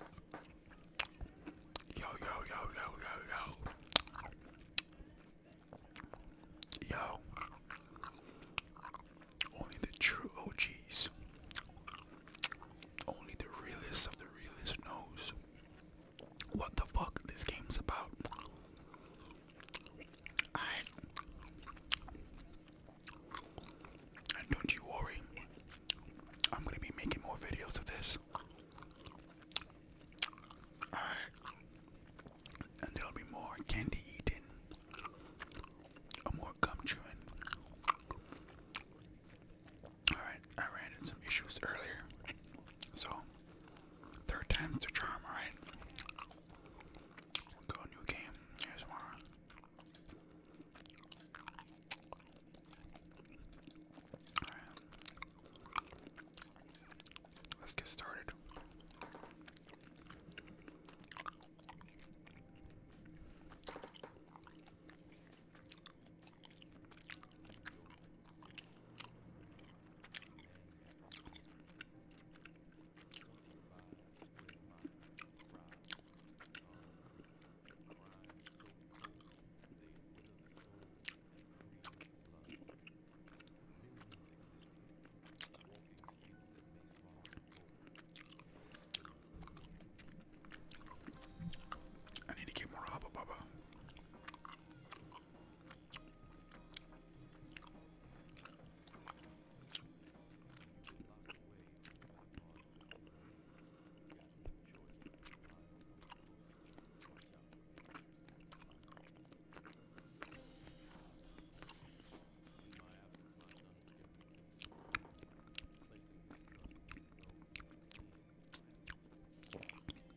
Yo, yo, yo, yo, yo, yo. Yo. Only the true OGs. Only the realest of the realest knows what the fuck this game's about. Alright. And don't you worry, I'm gonna be making more videos of this. Alright. And there'll be more candy eating, or more gum chewing. Alright, I ran into some issues earlier. So, third time's the charm, alright? Go new game, here's more. Alright. Let's get started. I need to get more Hubba Bubba.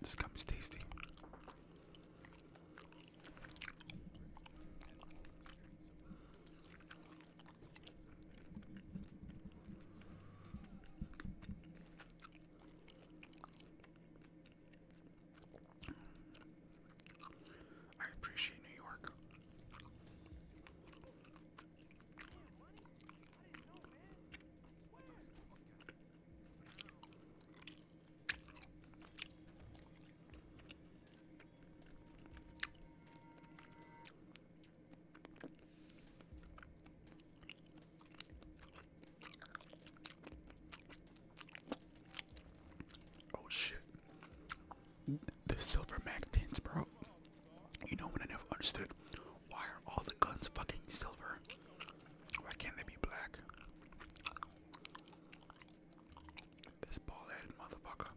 This gum is tasty. I appreciate New York. Oh shit. The silver mag tints, bro. You know what I never understood? Why are all the guns fucking silver? Why can't they be black? This bald headed motherfucker.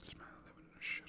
This man living in a shithole.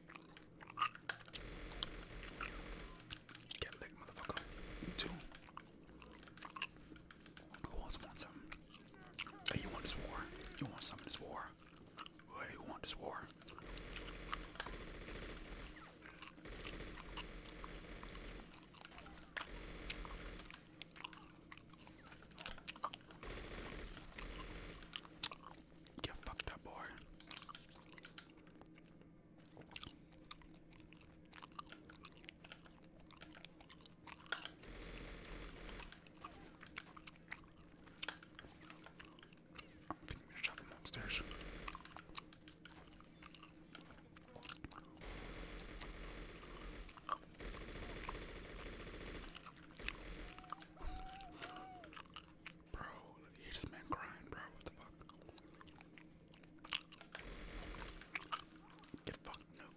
Get licked, motherfucker. You too. Who else wants some? Hey, you want this war? You want some of this war? Hey, you want this war? You fucked up, boy. I'm thinking we upstairs. Bro, you hear this man crying, bro. What the fuck? Get fucked, noob.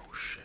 Oh shit.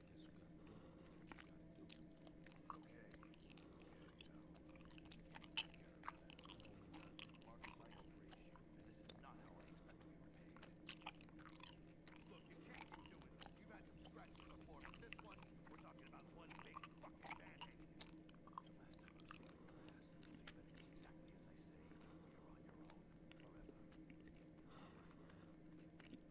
Yes, we gotta do it. We gotta do it. Okay. Okay, you know. Marcus, I appreciate you, and this is not how I expected we were paid. Look, you can't keep doing this. You've had some scratches before, but this one, we're talking about one big fucking bandit. The last time I saw your ass, you better do exactly as I say, or you're on your own forever.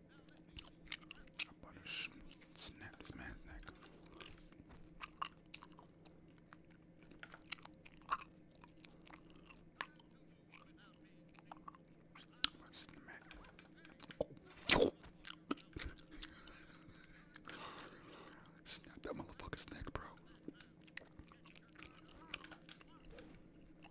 I'm about to snap this man's neck. Snap that motherfucker's neck, bro.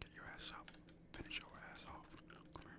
Get your ass up. Finish your ass off. Come here.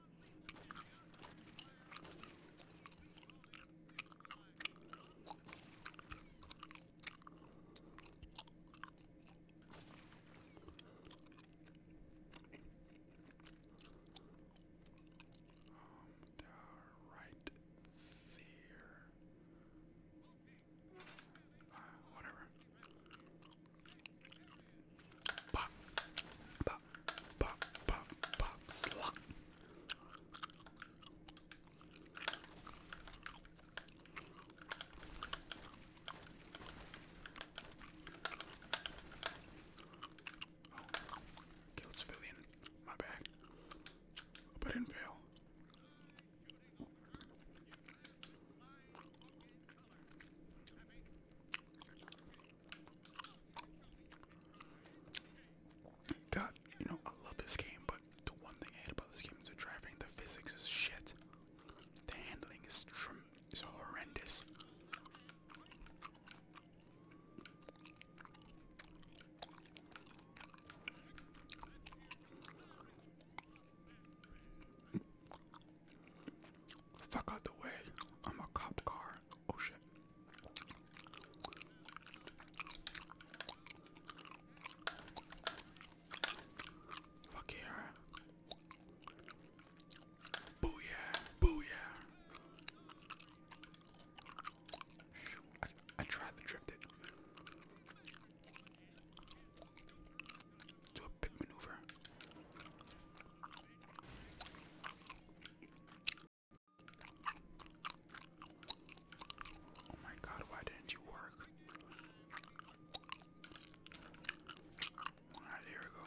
Um, right there. Uh, ah, whatever. Bah. Bah pop, pop, pop, pop, slop. Oh, okay, let's fill in. My bad. But I didn't fail. God, you know, I love this game, but the one thing I hate about this game is the driving. The physics is shit. The handling is horrendous. Fuck out the way. I'm a cop car. Oh shit. Fuck yeah. Booyah, booyah. I, tried to drift it. Do a big maneuver. Oh my god, why didn't you work? Alright, here we go.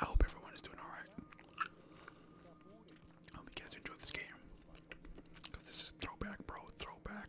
I hope everyone is doing all right. I hope you guys enjoyed this game. Cause this is throwback, bro. Throwback.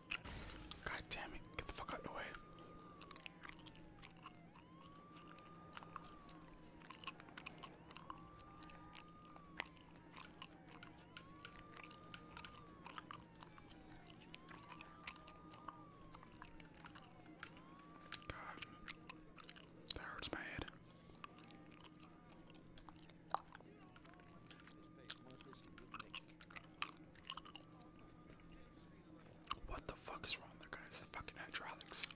God damn it, get the fuck out of the way. God, that hurts my head. What the fuck is wrong with that guy? It's the fucking hydraulics.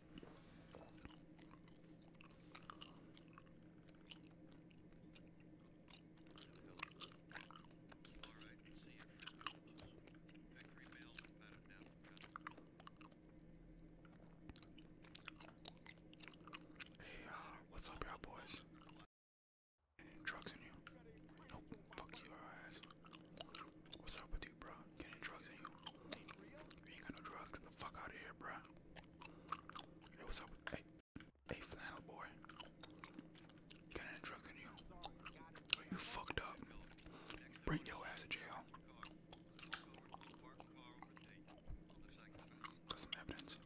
Hey, uh, what's up, y'all boys? Getting drugs in you? Nope, fuck your ass. What's up with you, bro? Getting drugs in you? You ain't got no drugs. Get the fuck out of here, bro. Hey, what's up? Hey, flannel boy. You got any drugs in you? you fucked up. Bring your ass to jail. Got some evidence.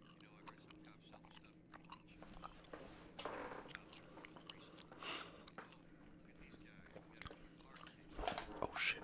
Oh shit.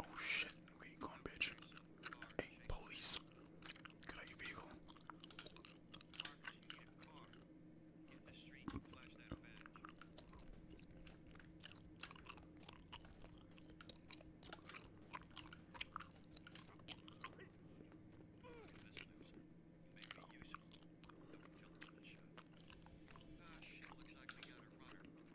Oh shit, where you going, bitch? Hey, police. Get out your vehicle. Ah,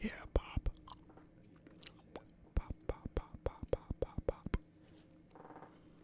Yeah, pop. Pop, pop, pop, pop, pop, pop,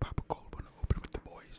Papa Cole wanna open with the boys.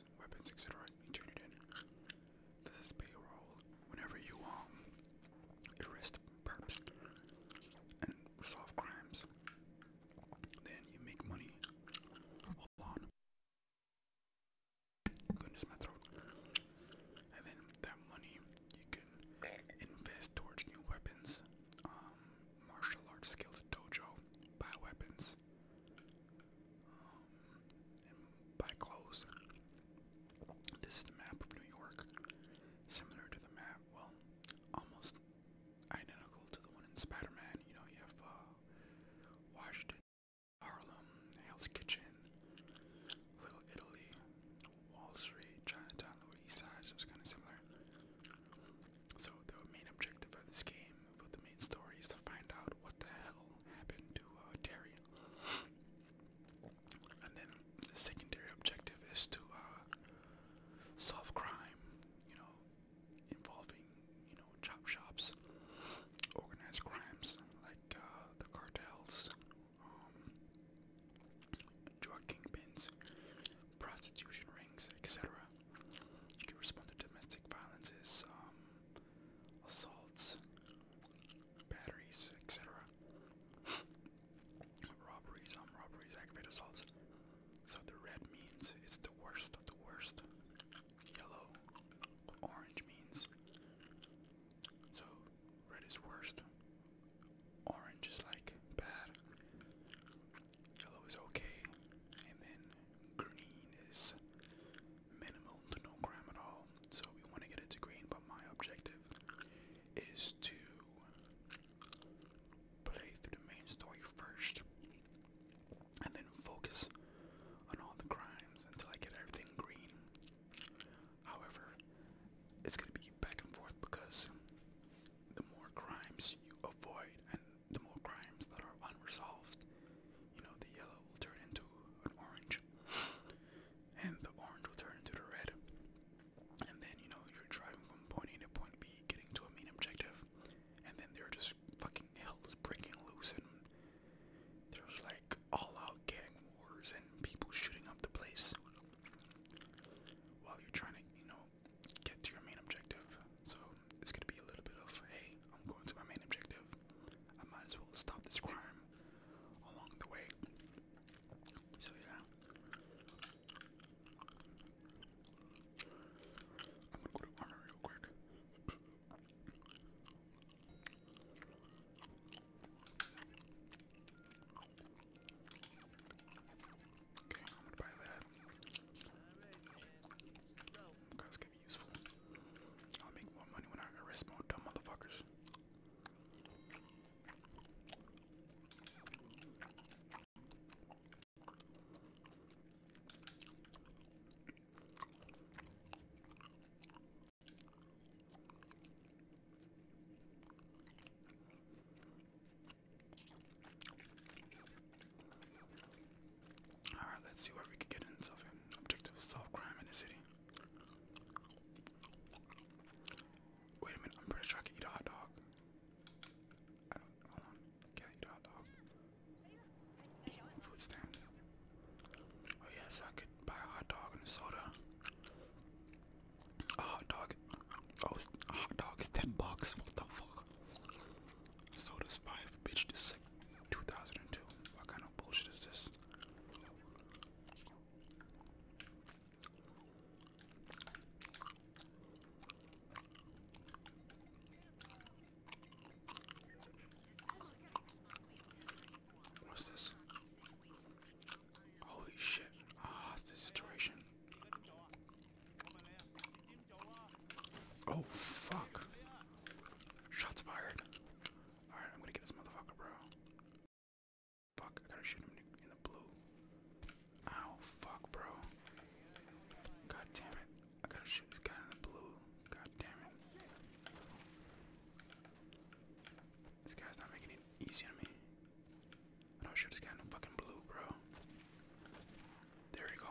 weapons, etc. He traded in. This is payroll. Whenever you um arrest perps and solve crimes, then you make money. Hold on. Goodness, my throat. And then that money you can invest towards new weapons, um, martial arts skills, dojo, buy weapons, clothes. Um, and by clothes, this is the map of New York, similar to the map, well, almost identical to the one in Spider-Man. You know, you have uh, Washington, Harlem, Hell's Kitchen, Little Italy, Wall Street, Chinatown, Lower East Side, so it's kind of similar. So the main objective of this game, for the main story, is to find out what the hell happened to uh, Terry. and then the secondary objective is to uh, solve crime, you know, involving, you know, chop shops, organized crimes like uh, the cartels, um, drug kingpins, prostitution rings, etc. You can respond to domestic violences, um, assaults, batteries, etc. robberies, um, robberies, aggravated assaults. So the red means it's the worst of the worst. Yellow, orange means so red is worst. Orange is like bad. Yellow is okay. And then green is minimal to no crime at all. So we want to get it to green, but my objective is to play through the main story first and then focus on all the crimes until I get everything green. However, it's going to be back and forth because the more crimes you avoid and the more crimes that are unresolved, you know, the yellow will turn into an orange, and the orange will turn into the red. And then, you know, you're driving from point A to point B, getting to a main objective, and then they're just fucking hell is breaking loose, and there's like all out gang wars and people shooting up the place while you're trying to, you know, get to your main objective. So it's gonna be a little bit of, hey, I'm going to my main objective. I might as well stop this crime along the way. So yeah. I'm gonna go to armor real quick. Okay, I'm gonna buy that. Guys can be useful. I'll make more money when I arrest more dumb motherfuckers. Alright, let's see what we can get in self objective solve crime in the city. Wait a minute, I'm pretty sure I can eat a hot dog. I don't Can I eat a hot dog? food stand. Oh yes, I could buy a hot dog and soda. A hot dog. Oh, a hot dog is ten bucks. What the fuck? Sold us five, bitch. This is 2002. What kind of bullshit is this? What's this? Holy shit. Ah, oh, this situation. Oh fuck. Shots fired. Alright, I'm gonna get this motherfucker, bro. Fuck, I gotta shoot him in the blue. Ow, fuck, bro. God damn it. I gotta shoot this guy in the blue. God damn it. This guy's not making it easy on me. I don't shoot this guy in the fucking blue, bro. There we go.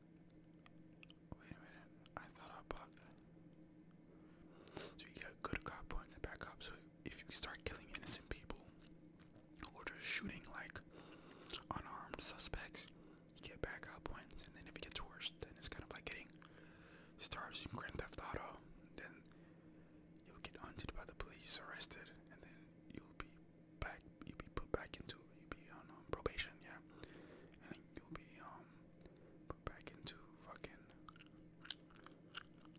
Wait a minute. I thought I bought that. So you got good cop points and bad cop. So if you start killing innocent people or just shooting like unarmed suspects, you get bad cop points. And then if it gets worse, then it's kind of like getting stars in Grand Theft Auto. Then you'll get hunted by the police, arrested, and then you'll be back. You'll be put back into. You'll be on um, probation. Yeah, and you'll be um Put back into fucking blue. You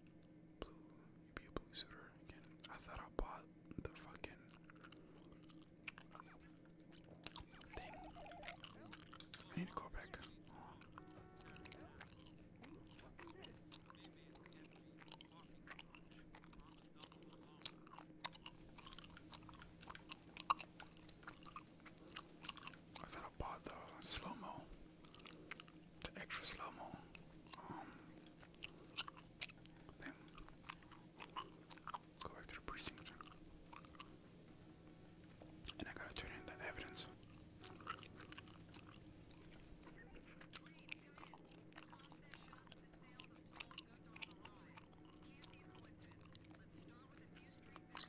be a blue suitor again. I thought I bought the fucking thing. I need to go back. I thought I bought the slow-mo, the extra slow-mo um, thing. Go back to the precinct. And I gotta turn in the evidence.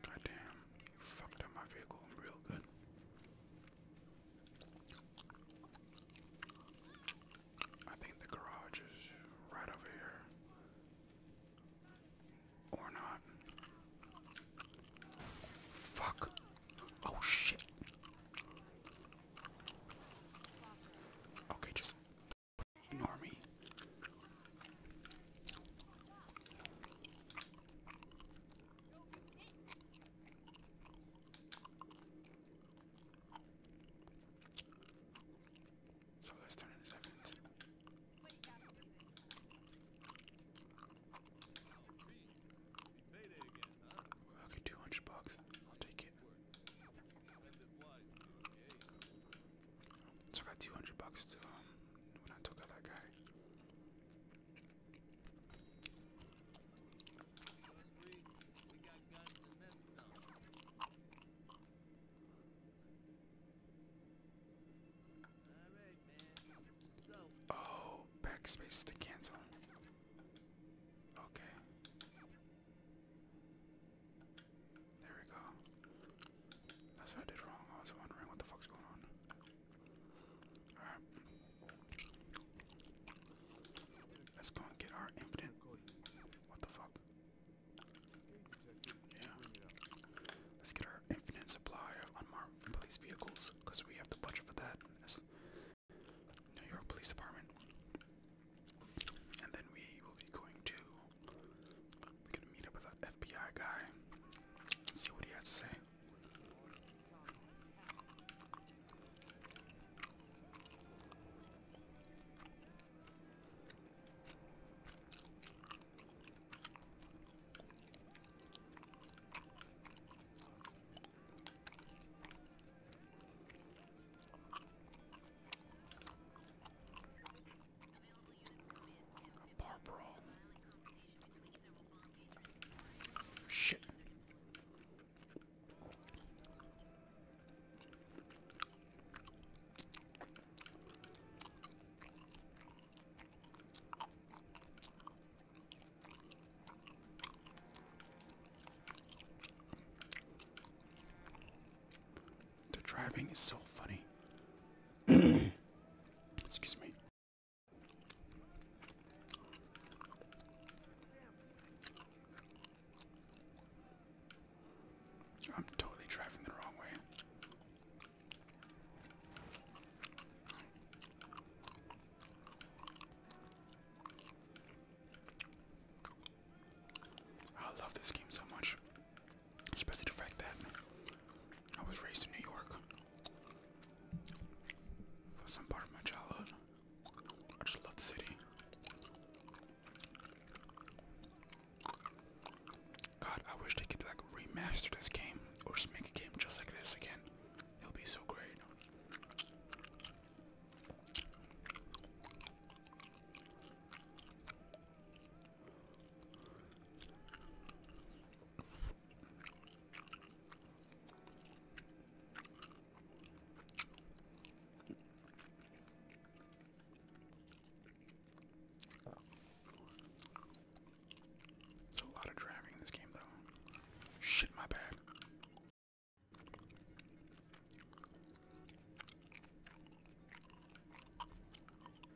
Goddamn, you fucked up my vehicle real good. I think the garage is right over here. Or not. Fuck. Oh shit. Okay, just Normie. So let's turn into sevens. Okay, two hundred bucks. I'll take it. So I got 200 bucks to um, when I took out that guy. Oh, backspace to cancel. Okay. There we go. That's what I did wrong. I was wondering what the fuck's going on. Alright. Let's go and get our infinite. What the fuck? Yeah. Let's get our infinite supply of unmarked police vehicles because we have the budget for that. New York Police Department. And then we will be going to we're gonna meet up with that FBI guy see what he has to say. Barbara. Shit. The driving is so funny. Excuse me. I'm totally driving the wrong way. I love this game so much. Especially the fact that I was raised in New York for some part of my childhood. I just love the city. God, I wish they could like remaster this game or just make a game just like this again. It'll be so great. It's a lot of driving in this game, though. Shit, my bad.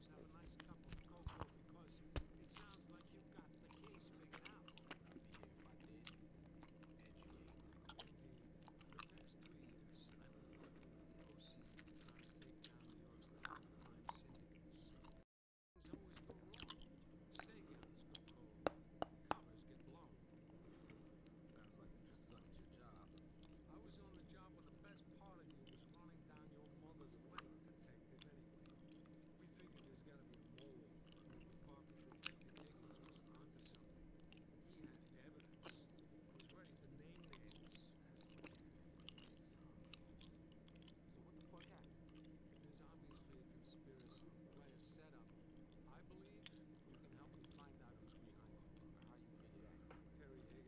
Jews have a nice cup of cocoa because it sounds like you've got the case figured out. I'd be here if I did. Educate, for the past three years, I've been working with the OC trying to take down New York's leading crime syndicates. Things always go wrong. Stadiums go cold. Covers get blown. Sounds like you just sucked your job. I was on the job when the best part of you was running down your mother's lake detective We figured there's gotta be more. Parker through Dickens was onto something. He had evidence. was ready to name names So what the fuck happened? There's obviously a conspiracy, a setup. I believe you can help find out who's behind it. How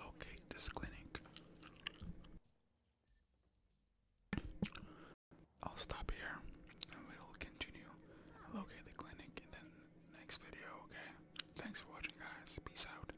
Locate this clinic. I'll stop here and we'll continue. Locate the clinic in the next video, okay? Thanks for watching, guys. Peace out.